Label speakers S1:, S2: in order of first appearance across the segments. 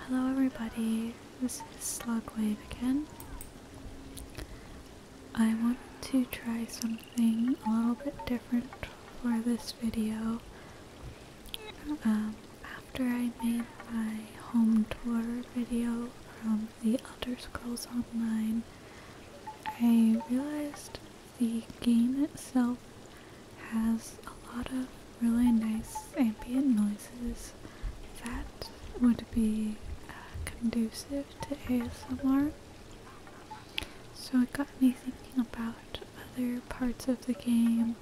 S1: Hello everybody, this is Slugwave again. I want to try something a little bit different for this video. Um, after I made my home tour video from the Elder Scrolls Online, I realized the game itself has a lot of really nice ambient noises that would be uh, conducive to ASMR. So it got me thinking about other parts of the game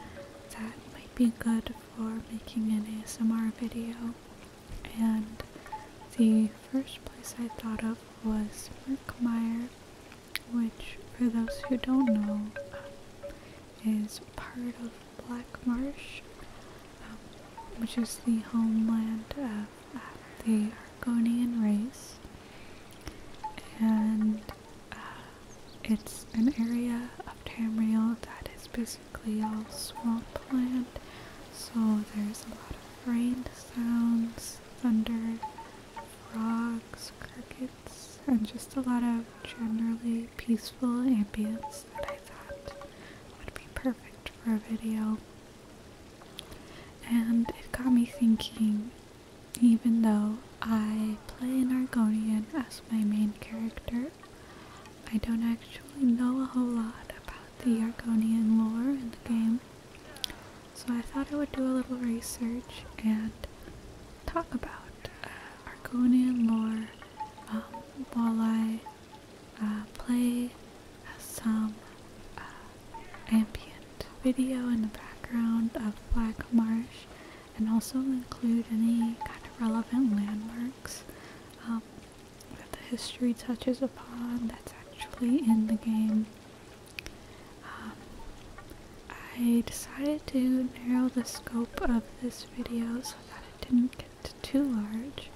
S1: that might be good for making an ASMR video. And the first place I thought of was Merkmeyer, which, for those who don't know, um, is part of Black Marsh, um, which is the homeland of the Argonian race, and uh, it's an area of Tamriel that is basically all swampland. So there's a lot of rain sounds, thunder, frogs, crickets and just a lot of generally peaceful ambience that I thought would be perfect for a video. And it got me thinking, even though I play an Argonian as my main character, I don't actually know a whole lot about the Argonian lore in the game. So I thought I would do a little research and talk about uh, Argonian lore, um, while I uh, play some uh, ambient video in the background of Black Marsh, and also include any kind of relevant landmarks um, that the history touches upon that's actually in the game. Um, I decided to narrow the scope of this video so that it didn't get too large.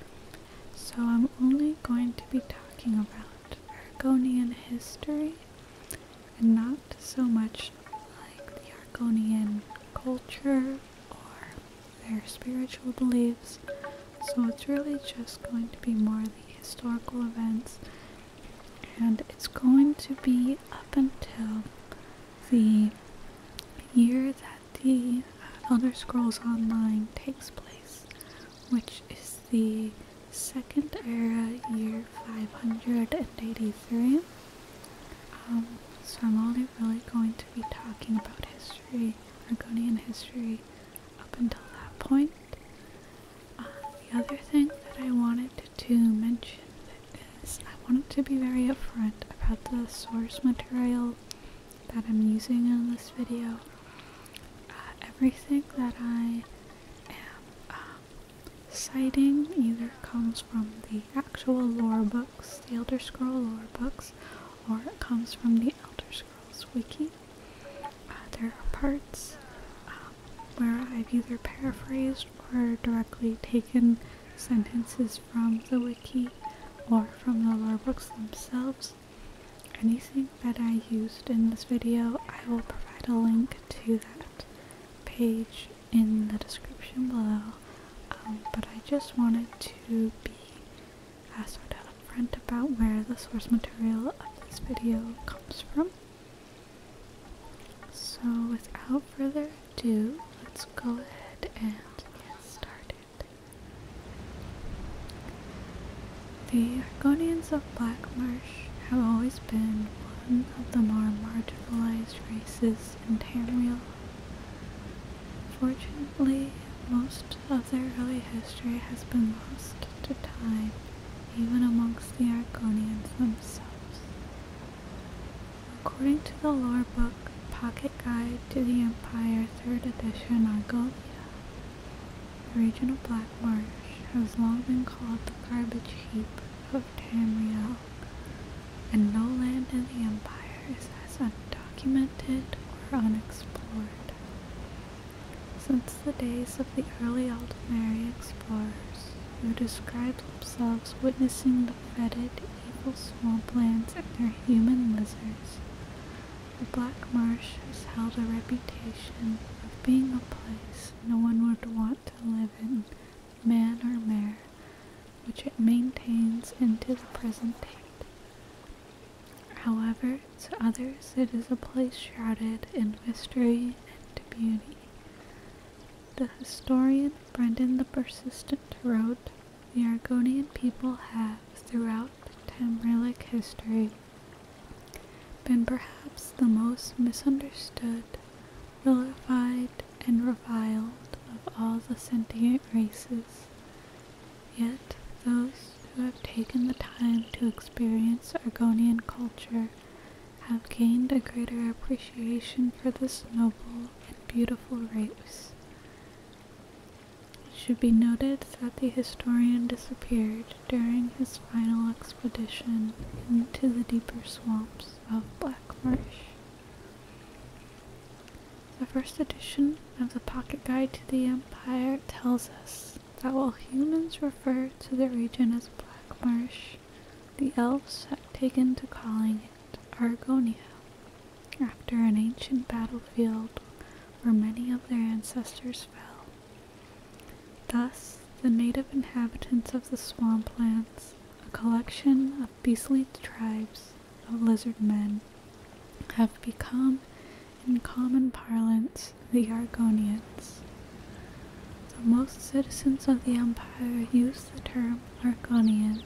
S1: So I'm only going to be talking about Argonian history and not so much like the Argonian culture or their spiritual beliefs. So it's really just going to be more the historical events and it's going to be up until the year that the Elder Scrolls Online takes place, which is the Second Era year 583. Um, so I'm only really going to be talking about history, Argonian history, up until that point. Uh, the other thing that I wanted to mention is I wanted to be very upfront about the source material that I'm using in this video. Uh, everything that I am um, citing either comes from the actual lore books, the Elder Scroll lore books, or it comes from the Elder Scrolls wiki. Uh, there are parts um, where I've either paraphrased used or directly taken sentences from the wiki or from the law books themselves. Anything that I used in this video, I will provide a link to that page in the description below. Um, but I just wanted to be uh, sort of upfront about where the source material of this video comes from. So without further do, let's go ahead and get started. The Argonians of Black Marsh have always been one of the more marginalized races in Tamriel. Fortunately, most of their early history has been lost to time, even amongst the Argonians themselves. According to the lore book Pocket Guide to the Empire 3rd edition Argovia, the region of Black Marsh has long been called the garbage heap of Tamriel, and no land in the Empire is as undocumented or unexplored. Since the days of the early Aldemari explorers, who described themselves witnessing the the fetid, evil swamp lands and their human lizards, the Black Marsh has held a reputation of being a place no one would want to live in, man or mare, which it maintains into the present day. However, to others it is a place shrouded in mystery and beauty. The historian Brendan the Persistent wrote, The Argonian people have, throughout Tamrielic history, been perhaps the most misunderstood, vilified, and reviled of all the sentient races. Yet, those who have taken the time to experience Argonian culture have gained a greater appreciation for this noble and beautiful race. It should be noted that the historian disappeared during his final expedition into the deeper swamps of Black Marsh. The first edition of the Pocket Guide to the Empire tells us that while humans refer to the region as Black Marsh, the elves have taken to calling Argonia, after an ancient battlefield where many of their ancestors fell. Thus, the native inhabitants of the swamplands, a collection of beastly tribes of lizard men, have become, in common parlance, the Argonians. Though most citizens of the empire use the term Argonian,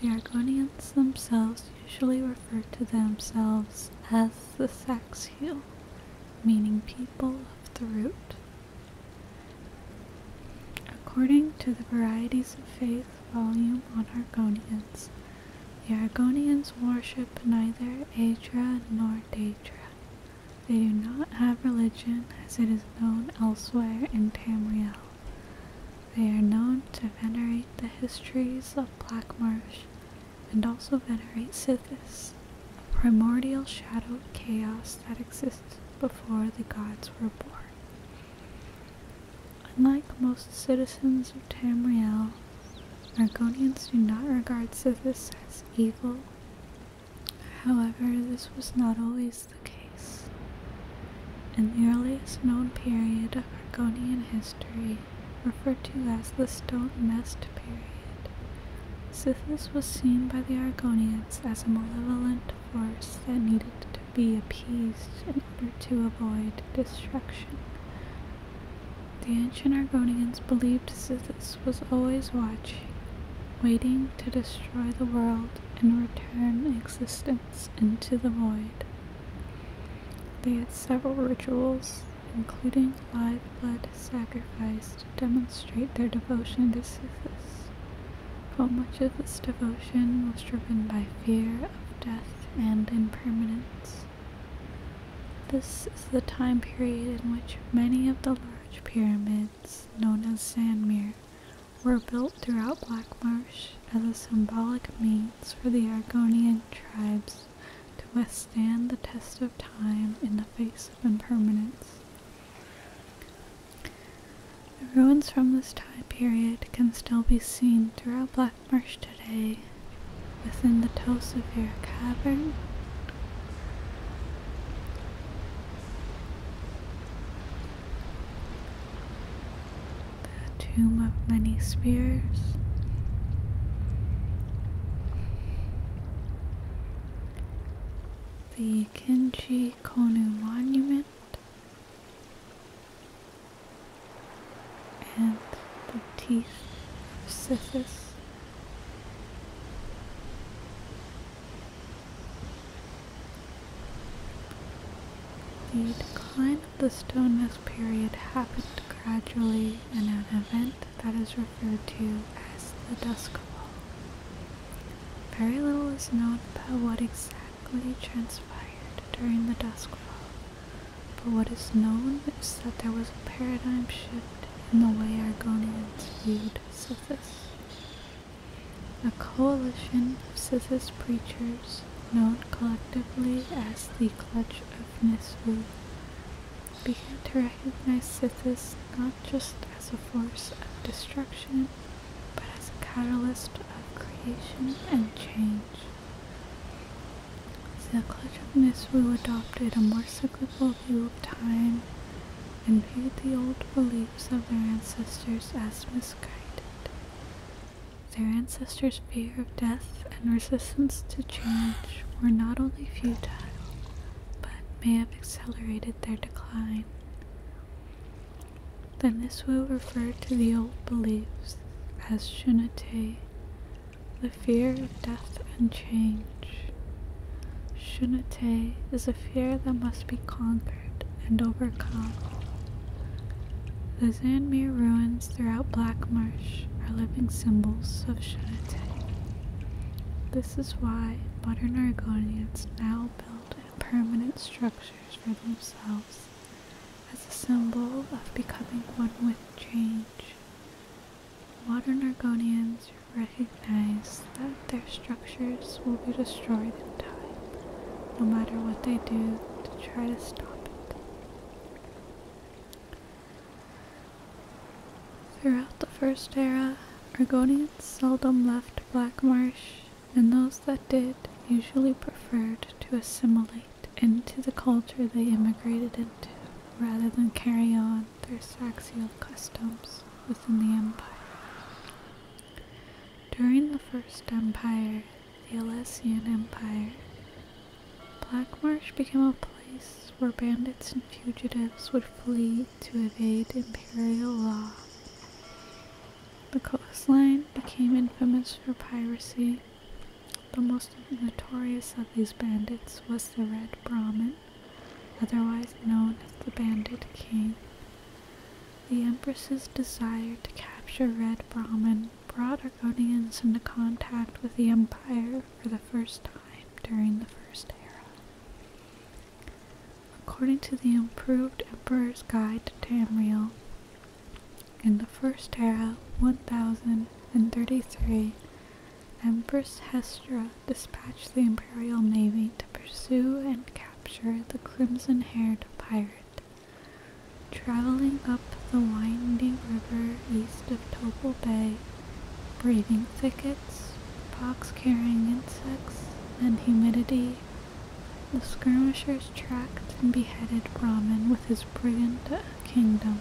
S1: the Argonians themselves usually refer to themselves as the Saxiel, meaning people of the root. According to the Varieties of Faith volume on Argonians, the Argonians worship neither Adra nor Daedra. They do not have religion as it is known elsewhere in Tamriel. They are known to venerate the histories of Black Marsh and also venerate Sithis, a primordial shadow of chaos that exists before the gods were born. Unlike most citizens of Tamriel, Argonians do not regard Sithis as evil. However, this was not always the case. In the earliest known period of Argonian history, referred to as the Stone Nest period, Sithis was seen by the Argonians as a malevolent force that needed to be appeased in order to avoid destruction. The ancient Argonians believed Sithis was always watching, waiting to destroy the world and return existence into the void. They had several rituals, including live blood sacrifice, to demonstrate their devotion to Sithis, but much of this devotion was driven by fear of death and impermanence. This is the time period in which many of the large pyramids, known as Sanmir, were built throughout Blackmarsh as a symbolic means for the Argonian tribes to withstand the test of time in the face of impermanence. The ruins from this time period can still be seen throughout Blackmarsh today within the Tosevere Cavern the Tomb of Many Spears. The Kinchi Konu Monument and the teeth of Sithis. The decline of the Stonemass period happened gradually in an event that is referred to as the Duskfall. Very little is known about what exactly transpired during the Duskfall, but what is known is that there was a paradigm shift in the way Argonians viewed Sithis a coalition of Sithist preachers known collectively as the Clutch of Misrule, began to recognize Sithis not just as a force of destruction, but as a catalyst of creation and change. The Clutch of Misrule adopted a more cyclical view of time and viewed the old belief of their ancestors as misguided. Their ancestors' fear of death and resistance to change were not only futile, but may have accelerated their decline. Then this will refer to the old beliefs as shunate, the fear of death and change. Shunate is a fear that must be conquered and overcome. The Zanmir ruins throughout Blackmarsh are living symbols of Shenate. This is why modern Argonians now build permanent structures for themselves as a symbol of becoming one with change. Modern Argonians recognize that their structures will be destroyed in time, no matter what they do to try to stop it. Throughout the First Era, Argonians seldom left Black Marsh, and those that did usually preferred to assimilate into the culture they immigrated into rather than carry on their Saxial customs within the Empire. During the First Empire, the Alessian Empire, Blackmarsh became a place where bandits and fugitives would flee to evade imperial law. The coastline became infamous for piracy. The most notorious of these bandits was the Red Brahmin, otherwise known as the Bandit King. The Empress's desire to capture Red Brahman brought Argonians into contact with the Empire for the first time during the First Era. According to the improved Emperor's Guide to Tamriel, in the First Era 1033, Empress Hestra dispatched the Imperial Navy pursue and capture the crimson haired pirate. Traveling up the winding river east of Topol Bay, braving thickets, pox carrying insects, and humidity, the skirmishers tracked and beheaded Brahmin with his brigand kingdom,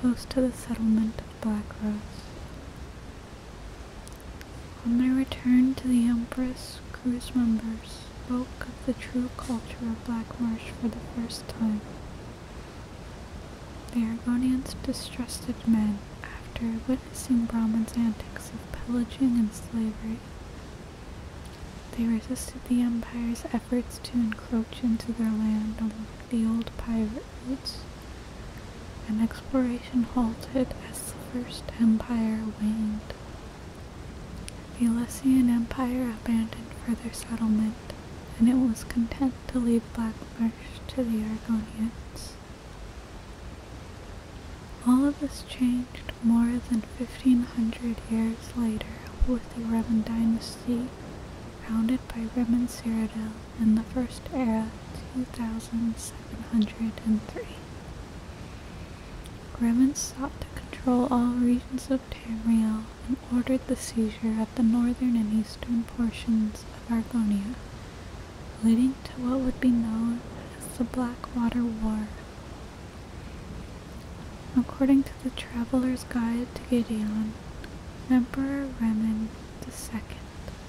S1: close to the settlement of Black Rose. On their return to the Empress, cruise members spoke of the true culture of Black Marsh for the first time. The Argonians distrusted men after witnessing Brahman's antics of pillaging and slavery. They resisted the Empire's efforts to encroach into their land along the old pirate routes, and exploration halted as the First Empire waned. The Alessian Empire abandoned further settlement, and it was content to leave Blackmarsh to the Argonians. All of this changed more than 1500 years later with the Revan dynasty, founded by Revan Siradel in the First Era 2703. Gremen sought to control all regions of Tamriel and ordered the seizure of the northern and eastern portions of Argonia, leading to what would be known as the Blackwater War. According to the Traveler's Guide to Gideon, Emperor Remen II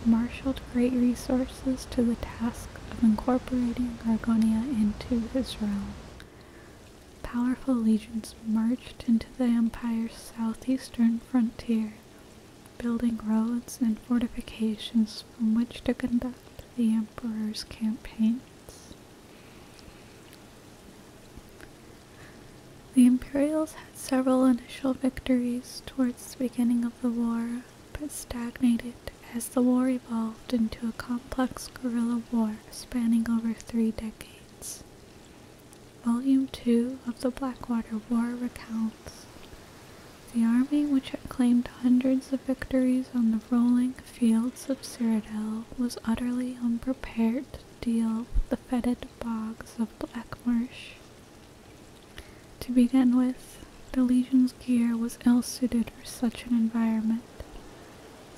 S1: marshaled great resources to the task of incorporating Argonia into his realm. Powerful legions marched into the Empire's southeastern frontier, building roads and fortifications from which to conduct the Emperor's campaigns. The Imperials had several initial victories towards the beginning of the war but stagnated as the war evolved into a complex guerrilla war spanning over three decades. Volume 2 of the Blackwater War recounts the army which had claimed hundreds of victories on the rolling fields of Cyrodiil was utterly unprepared to deal with the fetid bogs of Blackmarsh. To begin with, the Legion's gear was ill suited for such an environment.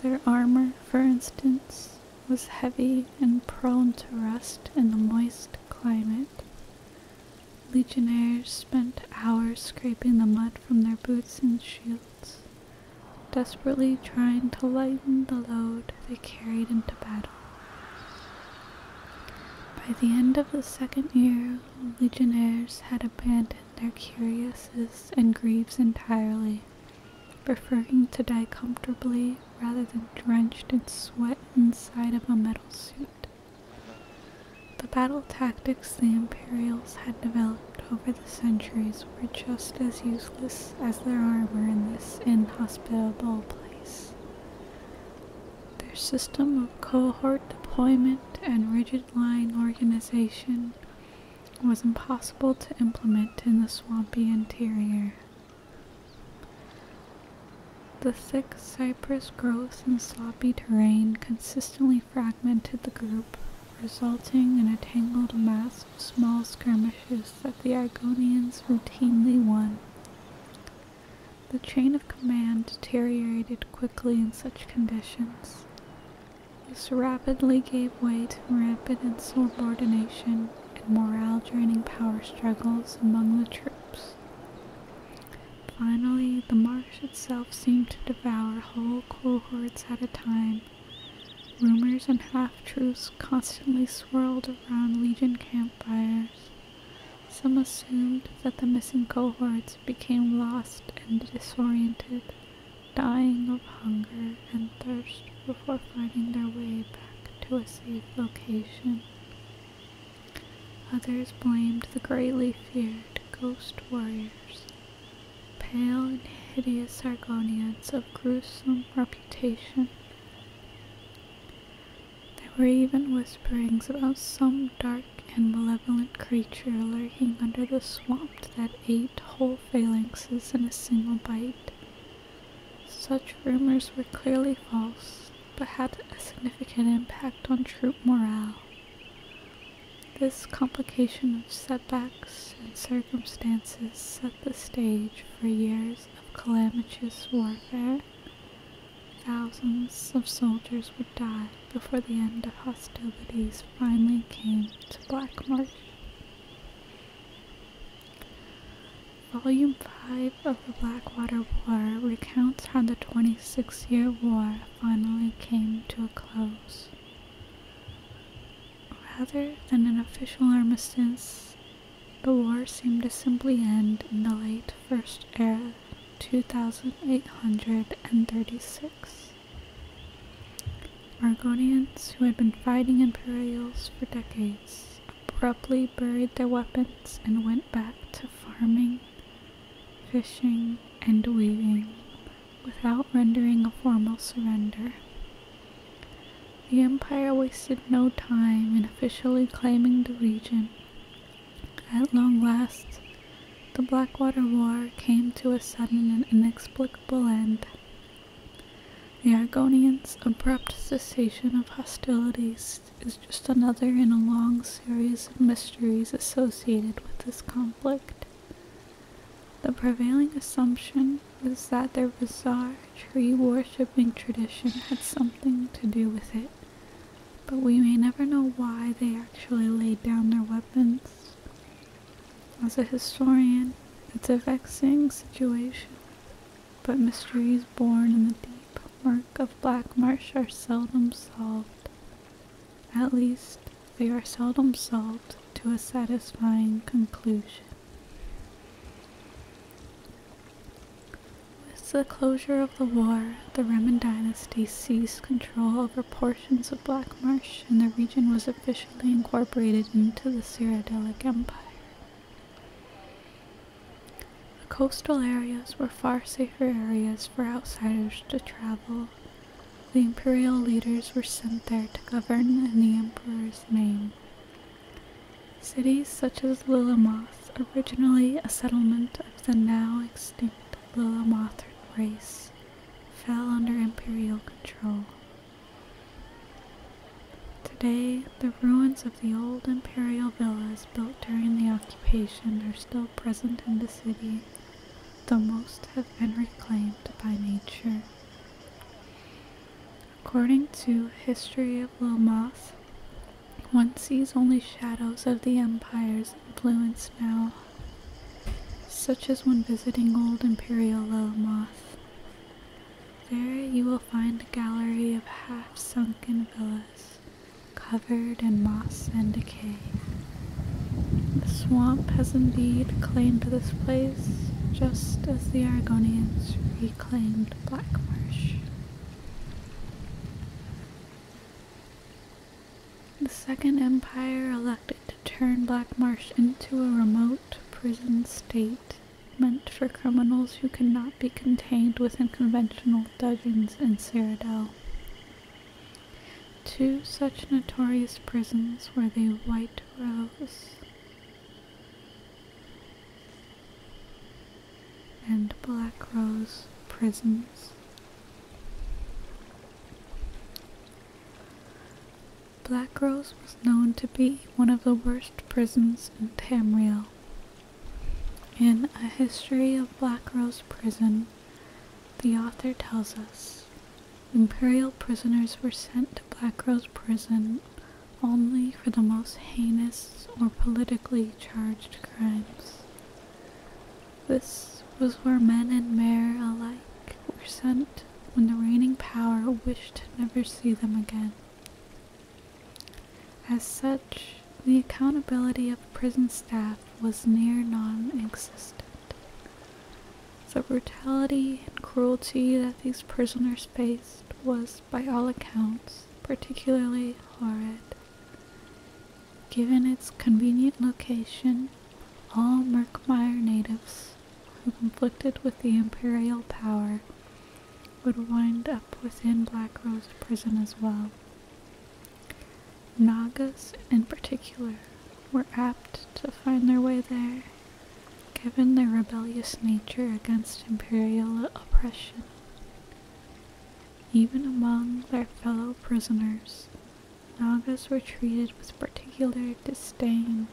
S1: Their armor, for instance, was heavy and prone to rust in the moist climate. Legionnaires spent hours scraping the mud from their boots and shields, desperately trying to lighten the load they carried into battle. By the end of the second year, legionnaires had abandoned their curiouses and grieves entirely, preferring to die comfortably rather than drenched in sweat inside of a metal suit. The battle tactics the Imperials had developed over the centuries were just as useless as their armor in this inhospitable place. Their system of cohort deployment and rigid line organization was impossible to implement in the swampy interior. The thick cypress growth and sloppy terrain consistently fragmented the group, resulting in a tangled mass of small skirmishes that the Argonians routinely won. The chain of command deteriorated quickly in such conditions. This rapidly gave way to rapid insubordination and morale draining power struggles among the troops. Finally, the marsh itself seemed to devour whole cohorts at a time. Rumors and half truths constantly swirled around Legion campfires. Some assumed that the missing cohorts became lost and disoriented, dying of hunger and thirst before finding their way back to a safe location. Others blamed the greatly feared ghost warriors, pale and hideous Argonians of gruesome reputation. There were even whisperings about some dark and malevolent creature lurking under the swamp that ate whole phalanxes in a single bite. Such rumors were clearly false, but had a significant impact on troop morale. This complication of setbacks and circumstances set the stage for years of calamitous warfare. Thousands of soldiers would die before the end of hostilities finally came to Black Marsh. Volume 5 of the Blackwater War recounts how the 26 year war finally came to a close. Rather than an official armistice, the war seemed to simply end in the late First Era 2,836. Margonians who had been fighting Imperials for decades, abruptly buried their weapons and went back to farming, fishing, and weaving without rendering a formal surrender. The Empire wasted no time in officially claiming the region at long last, the Blackwater War came to a sudden and inexplicable end. The Argonians' abrupt cessation of hostilities is just another in a long series of mysteries associated with this conflict. The prevailing assumption is that their bizarre tree worshipping tradition had something to do with it, but we may never know why they actually laid down their weapons. As a historian, it's a vexing situation, but mysteries born in the deep murk of Black Marsh are seldom solved. At least, they are seldom solved to a satisfying conclusion. With the closure of the war, the Roman dynasty seized control over portions of Black Marsh, and the region was officially incorporated into the Cyradelic Empire. The coastal areas were far safer areas for outsiders to travel. The imperial leaders were sent there to govern in the emperor's name. Cities such as Lillemoth, originally a settlement of the now extinct the Lamothran race fell under imperial control. Today, the ruins of the old imperial villas built during the occupation are still present in the city, though most have been reclaimed by nature. According to History of Lilmoth, one sees only shadows of the empire's influence now such as when visiting old imperial low moth. There you will find a gallery of half sunken villas covered in moss and decay. The swamp has indeed claimed this place just as the Argonians reclaimed Black Marsh. The Second Empire elected to turn Black Marsh into a remote prison state meant for criminals who could not be contained within conventional dungeons in Cyrodiil. Two such notorious prisons were the White Rose and Black Rose prisons. Black Rose was known to be one of the worst prisons in Tamriel. In A History of Black Rose Prison, the author tells us Imperial prisoners were sent to Black Rose Prison only for the most heinous or politically charged crimes. This was where men and mare alike were sent when the reigning power wished to never see them again. As such, the accountability of prison staff was near non existent. The brutality and cruelty that these prisoners faced was, by all accounts, particularly horrid. Given its convenient location, all Merkmire natives who conflicted with the imperial power would wind up within Black Rose prison as well. Nagas, in particular, were apt to find their way there, given their rebellious nature against imperial oppression. Even among their fellow prisoners, Nagas were treated with particular disdain,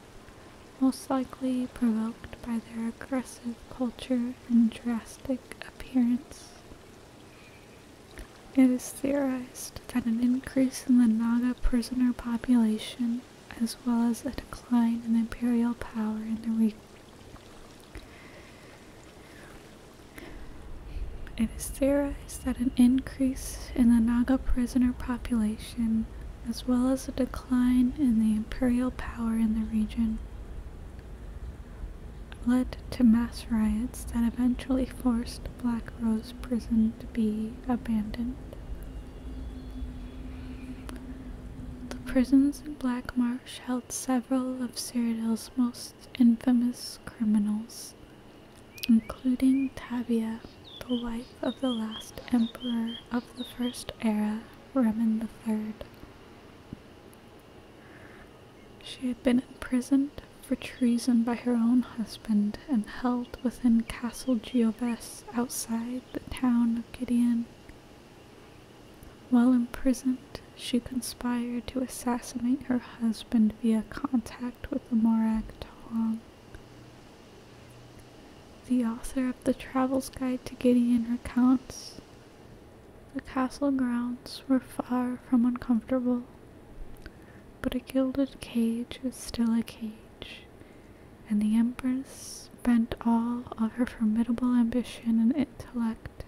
S1: most likely provoked by their aggressive culture and drastic appearance. It is theorized that an increase in the Naga prisoner population, as well as a decline in imperial power in the region, it is theorized that an increase in the Naga prisoner population, as well as a decline in the imperial power in the region, led to mass riots that eventually forced Black Rose Prison to be abandoned. The prisons in Black Marsh held several of Cyrodiil's most infamous criminals, including Tabia, the wife of the last emperor of the First Era, Remen III. She had been imprisoned for treason by her own husband and held within Castle Gioves outside the town of Gideon. While imprisoned, she conspired to assassinate her husband via contact with the Morak Tong. The author of the Travel's Guide to Gideon recounts the castle grounds were far from uncomfortable, but a gilded cage is still a cage, and the Empress bent all of her formidable ambition and intellect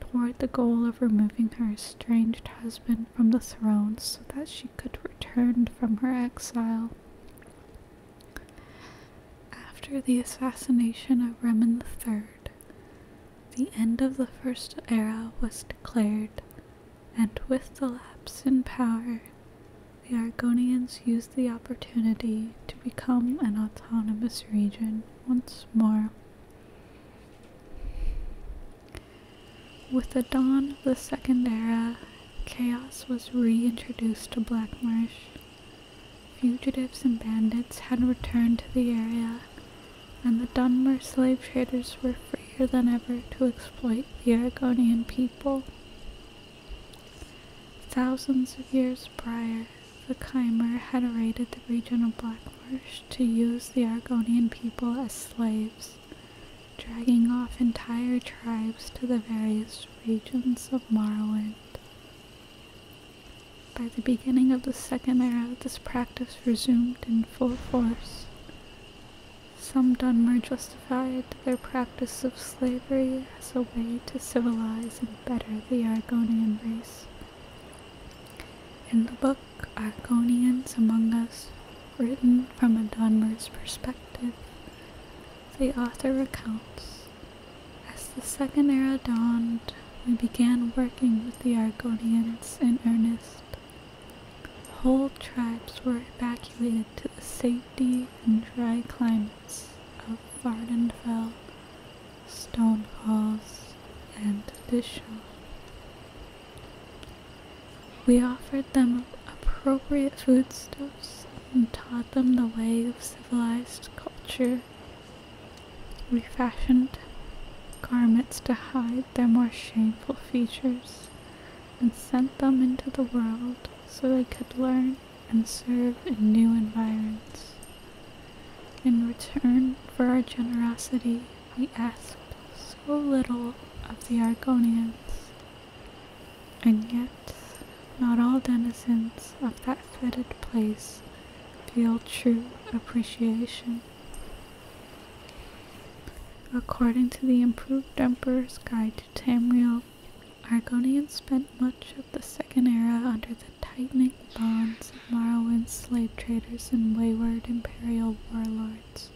S1: toward the goal of removing her estranged husband from the throne so that she could return from her exile. After the assassination of Remen Third, the end of the First Era was declared, and with the lapse in power, the Argonians used the opportunity to become an autonomous region once more. With the dawn of the Second Era, chaos was reintroduced to Blackmarsh. Fugitives and bandits had returned to the area, and the Dunmer slave traders were freer than ever to exploit the Oregonian people. Thousands of years prior, the Khmer had raided the region of Blackmarsh to use the Argonian people as slaves dragging off entire tribes to the various regions of Morrowind. By the beginning of the Second Era, this practice resumed in full force. Some Dunmer justified their practice of slavery as a way to civilize and better the Argonian race. In the book, Argonians Among Us, written from a Donmer's perspective, the author recounts As the Second Era dawned, we began working with the Argonians in earnest. Whole tribes were evacuated to the safety and dry climates of Vardenfell, Stone and Dishon. We offered them appropriate foodstuffs and taught them the ways of civilized culture. We fashioned garments to hide their more shameful features and sent them into the world so they could learn and serve in new environs. In return for our generosity, we asked so little of the Argonians, and yet not all denizens of that fetid place feel true appreciation. According to the improved Emperor's Guide to Tamriel, Argonians spent much of the Second Era under the tightening bonds of Morrowind's slave traders and wayward imperial warlords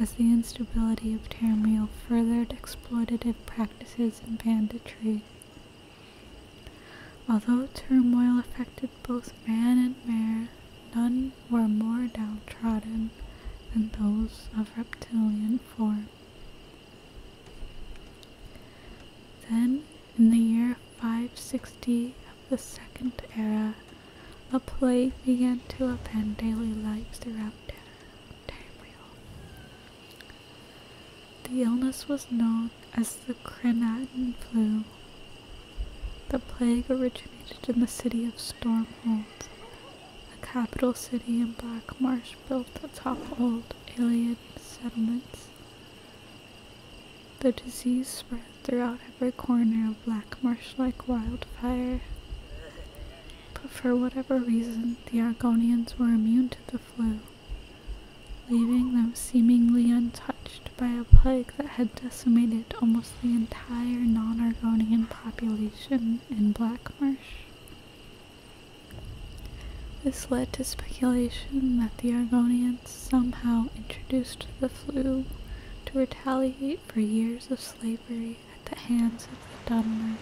S1: as the instability of turmoil furthered exploitative practices and banditry. Although turmoil affected both man and mare, none were more downtrodden than those of reptilian form. Then, in the year 560 the Second Era, a plague began to upend daily lives throughout Tamriel. The illness was known as the Crenatin flu. The plague originated in the city of Stormhold, a capital city in Black Marsh built atop old alien settlements. The disease spread throughout every corner of black marsh like wildfire. But for whatever reason, the Argonians were immune to the flu, leaving them seemingly untouched by a plague that had decimated almost the entire non Argonian population in Black Marsh. This led to speculation that the Argonians somehow introduced the flu to retaliate for years of slavery at the hands of the Dunmer.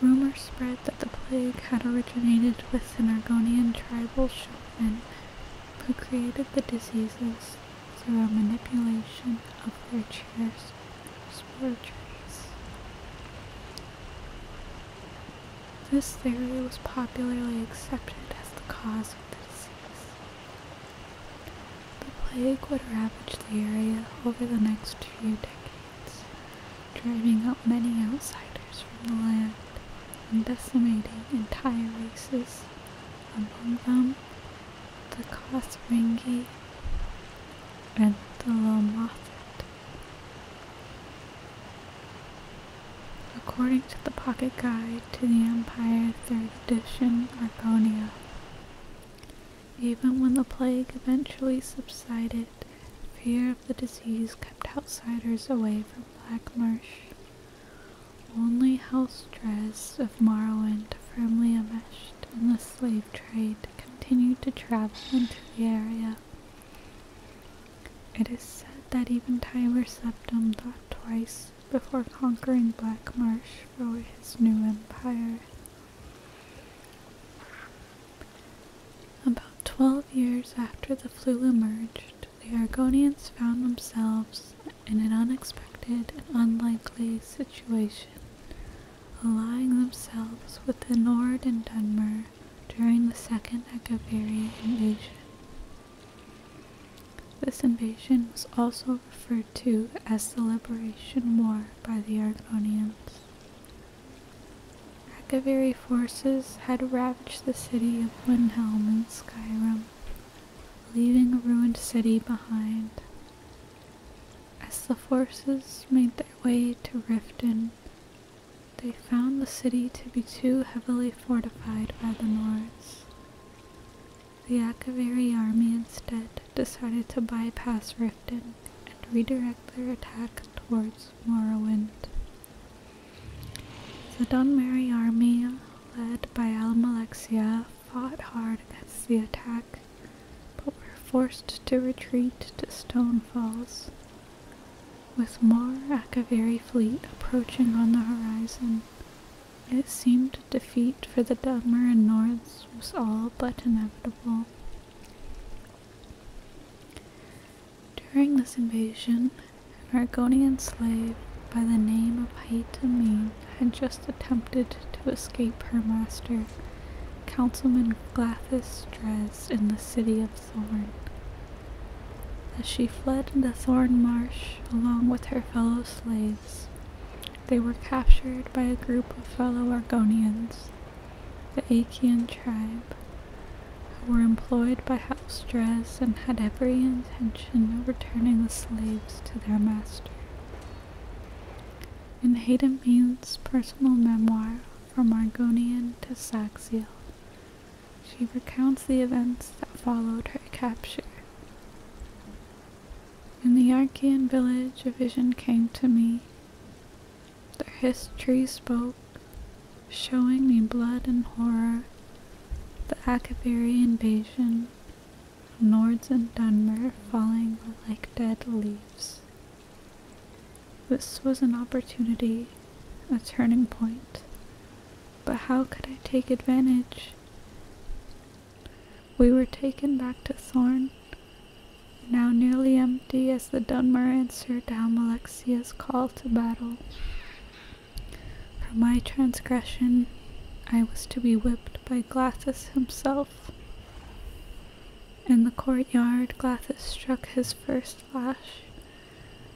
S1: rumors spread that the plague had originated with Nergonian tribal shopmen who created the diseases through a manipulation of their chairs spore This theory was popularly accepted as the cause of the disease. The plague would ravage the area over the next few decades, driving out many outsiders from the land and decimating entire races. Among them, the Kosringi and the Lomothid. According to the Pocket Guide to the Empire 3rd edition, even when the plague eventually subsided, fear of the disease kept outsiders away from Black Marsh. Only house dress of Morrowind firmly enmeshed in the slave trade continued to travel into the area. It is said that even Tiber Septum thought twice years before conquering Black Marsh for his new empire. About twelve years after the flu emerged, the Argonians found themselves in an unexpected and unlikely situation, allying themselves with the Nord and Dunmer during the Second Agaviri invasion. This invasion was also referred to as the Liberation War by the Argonians. Akaviri forces had ravaged the city of Windhelm in Skyrim, leaving a ruined city behind. As the forces made their way to Riften, they found the city to be too heavily fortified by the Nords. The Akaviri army instead decided to bypass Riften and redirect their attack towards Morrowind. The Dunmary army, led by Almalexia, fought hard against the attack, but were forced to retreat to Stone Falls. With more Akaviri fleet approaching on the horizon, it seemed defeat for the Dagmar and Nords was all but inevitable. During this invasion, an Argonian slave by the name of Haytamine had just attempted to escape her master, Councilman Glathis Dres, in the city of Thorn. As she fled the Thorn Marsh along with her fellow slaves, they were captured by a group of fellow Argonians, the Achaean tribe, who were employed by House Dres and had every intention of returning the slaves to their master. In Hayden Mean's personal memoir, From Argonian to Saxiel, she recounts the events that followed her capture. In the Archean village, a vision came to me. Their history spoke, showing me blood and horror, the Akaviri invasion, Nords and Dunmer falling like dead leaves. This was an opportunity, a turning point, but how could I take advantage? We were taken back to Thorn, now nearly empty as the Dunmer answered Dalmalexia's call to battle. For my transgression, I was to be whipped by Glathus himself. In the courtyard, Glathus struck his first lash.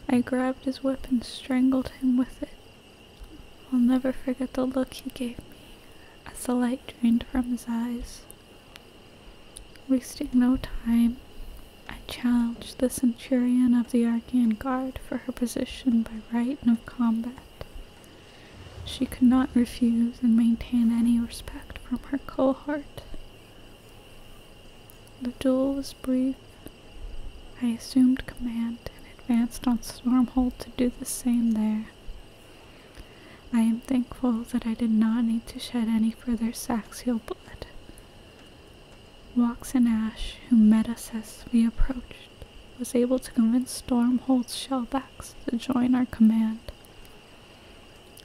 S1: I grabbed his whip and strangled him with it. I'll never forget the look he gave me as the light drained from his eyes. Wasting no time, I challenged the centurion of the Archean Guard for her position by right of combat. She could not refuse and maintain any respect from her cohort. The duel was brief. I assumed command and advanced on Stormhold to do the same there. I am thankful that I did not need to shed any further Saxial blood. Wax and Ash, who met us as we approached, was able to convince Stormhold's shellbacks to join our command.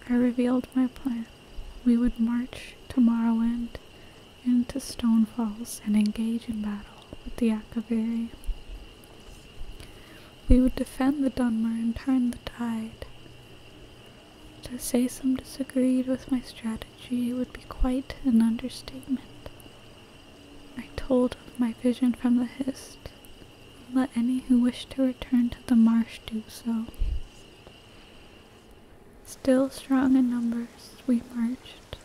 S1: I revealed my plan. We would march tomorrow Morrowind, into Stone Falls, and engage in battle with the Akaviri, We would defend the Dunmer and turn the tide. To say some disagreed with my strategy would be quite an understatement. I told of my vision from the Hist, let any who wished to return to the marsh do so. Still strong in numbers, we marched.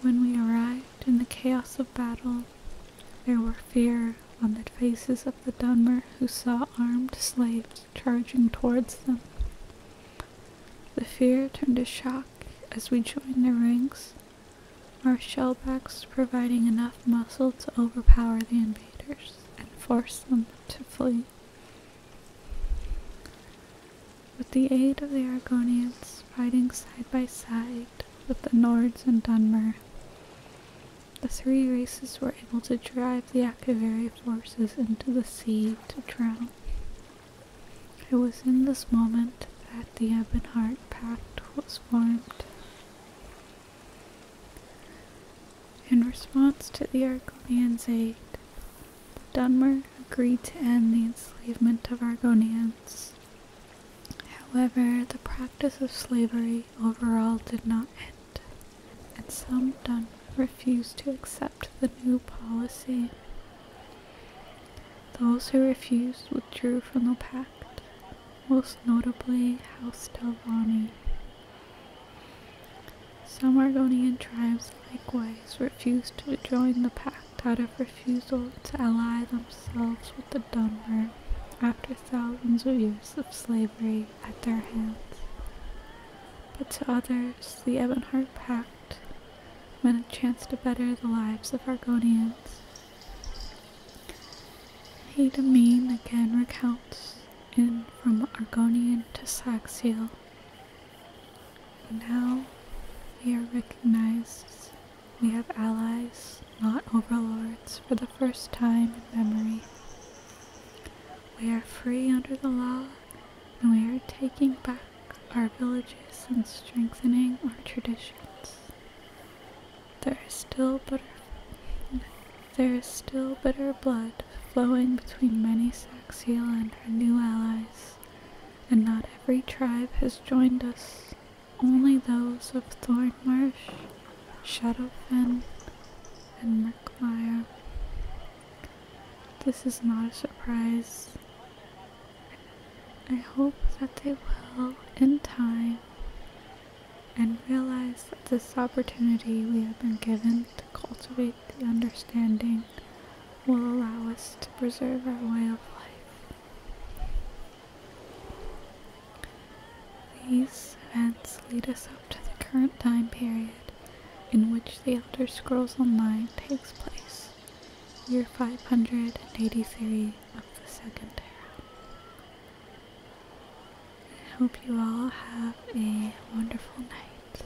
S1: When we arrived in the chaos of battle, there were fear on the faces of the Dunmer who saw armed slaves charging towards them. The fear turned to shock as we joined their ranks, our shellbacks providing enough muscle to overpower the invaders and force them to flee. With the aid of the Argonians, fighting side by side with the Nords and Dunmer, the three races were able to drive the Akaviri forces into the sea to drown. It was in this moment that the Ebonheart Pact was formed. In response to the Argonians' aid, the Dunmer agreed to end the enslavement of Argonians However, the practice of slavery overall did not end, and some done refused to accept the new policy. Those who refused withdrew from the pact, most notably House Delvani. Some Oregonian tribes likewise refused to join the pact out of refusal to ally themselves with the Dunmer after thousands of years of slavery at their hands. But to others, the Ebonheart Pact meant a chance to better the lives of Argonians. Haydamine again recounts in From Argonian to Saxiel. Now we are recognized we have allies, not overlords, for the first time in memory. We are free under the law, and we are taking back our villages and strengthening our traditions. There is still bitter, there is still bitter blood flowing between many Saxiel and her new allies, and not every tribe has joined us, only those of Thornmarsh, Shadowfen, and Merkmire. This is not a surprise. I hope that they will, in time, and realize that this opportunity we have been given to cultivate the understanding will allow us to preserve our way of life. These events lead us up to the current time period in which the Elder Scrolls Online takes place, year 583 of the Second Era. I hope you all have a wonderful night.